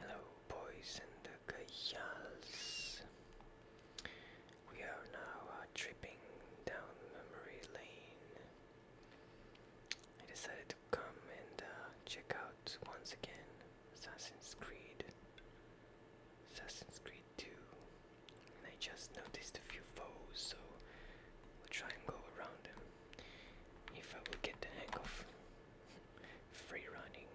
Hello, boys and girls. We are now uh, tripping down memory lane. I decided to come and uh, check out once again Assassin's Creed, Assassin's Creed 2, and I just noticed a few foes, so try and go around him. If I will get the hang of free running.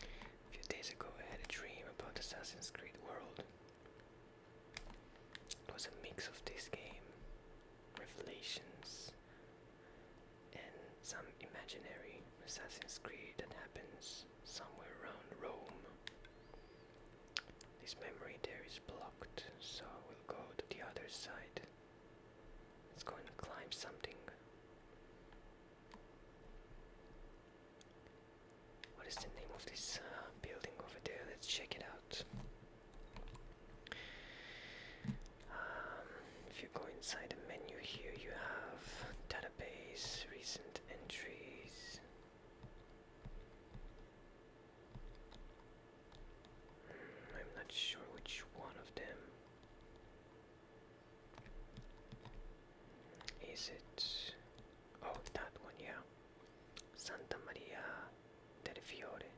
A few days ago I had a dream about Assassin's Creed World. It was a mix of this game, revelations, and some imaginary Assassin's Creed that happens somewhere around Rome. This memory there is blocked, so we'll go to the other side. Let's go and climb something. What is the name of this uh, building over there? Let's check it out. Um, if you go inside the menu here, you have database, recent entries. I'm not sure which one of them. Is it. Oh, that one, yeah. Santa Maria del Fiore.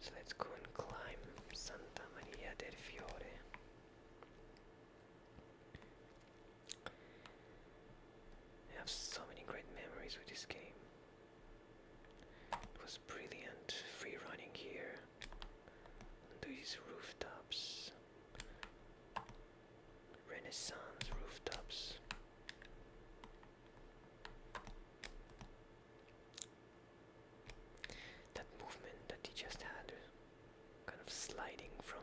So let's go and climb Santa Maria del Fiore. I have so many great memories with this game. It was brilliant, free running here on these rooftops. Renaissance rooftops. That movement that he just had, kind of sliding from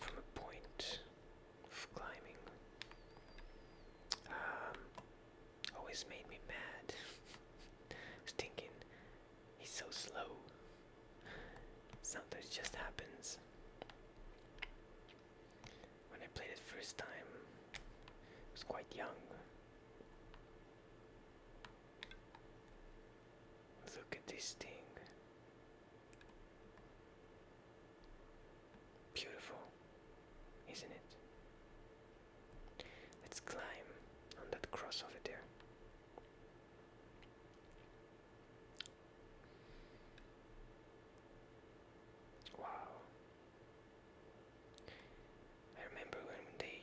from a point of climbing. Um, always made me mad. I he's so slow. Sometimes just happens. When I played it first time, I was quite young. Look at this thing. Beautiful, isn't it? Let's climb on that cross over there. Wow. remember when they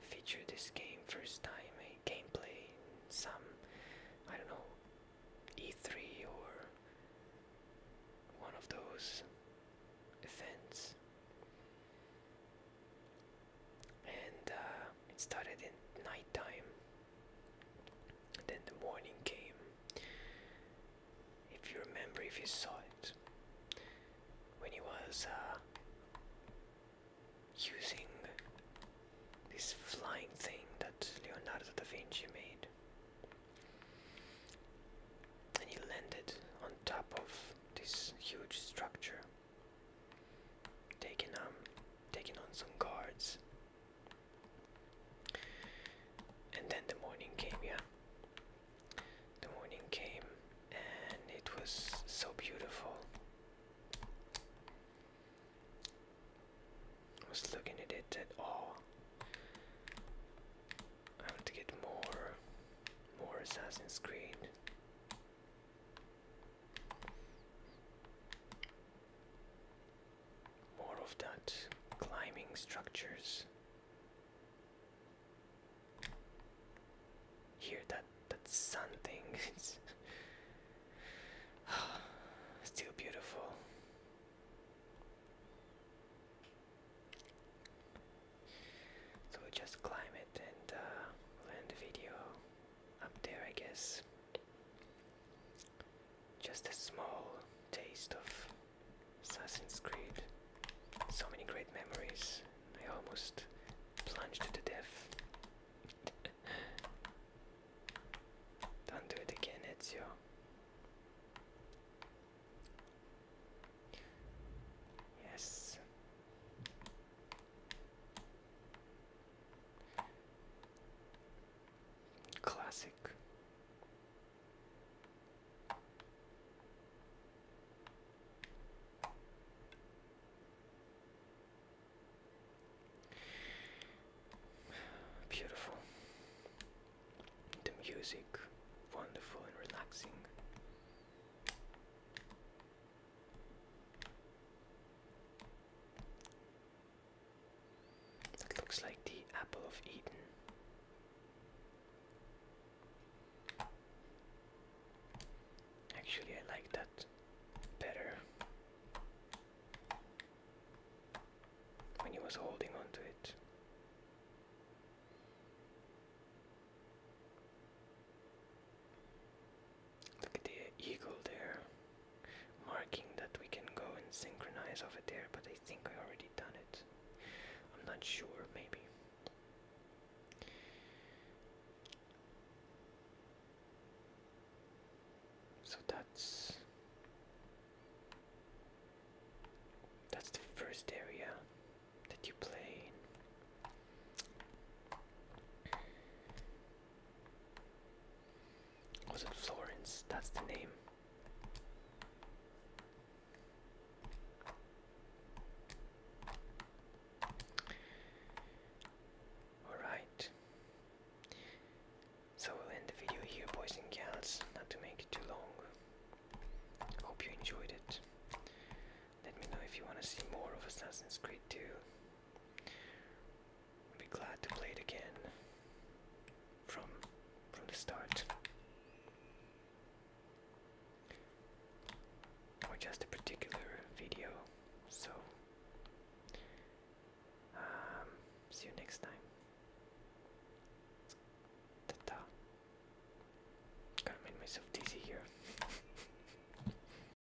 feature this game first time a gameplay some I don't know E3 or one of those events and uh, it started in nighttime and then the morning came if you remember if you saw it when he was uh, using this flying thing that Leonardo da Vinci made. And he landed on top of this huge structure, taking on, um, taking on some guards. And then the morning came, yeah. The morning came and it was so beautiful. I was looking at it at all. I want to get more, more Assassin's Creed. More of that climbing structures. Hear that that something it's still beautiful. So we'll just climb it and uh, we the video up there, I guess. Just a small taste of Assassin's Creed. So many great memories. I almost plunged to death. Don't do it again, Ezio. Yes. Classic. Beautiful. The music, wonderful and relaxing. It looks like the Apple of Eden. Actually, I like that better when he was holding on to it. Look at the eagle there marking that we can go and synchronize over there, but I think I already done it. I'm not sure, maybe. So that's that's the first area that you play in. Was it Florence? That's the name. Alright. So we'll end the video here, boys and gals, not to make it too long. Hope you enjoyed it. Let me know if you want to see more of Assassin's Creed 2. I'll be glad to play it again from from the start. Or just a particular video. So um, see you next time. ta Gotta make myself dizzy here.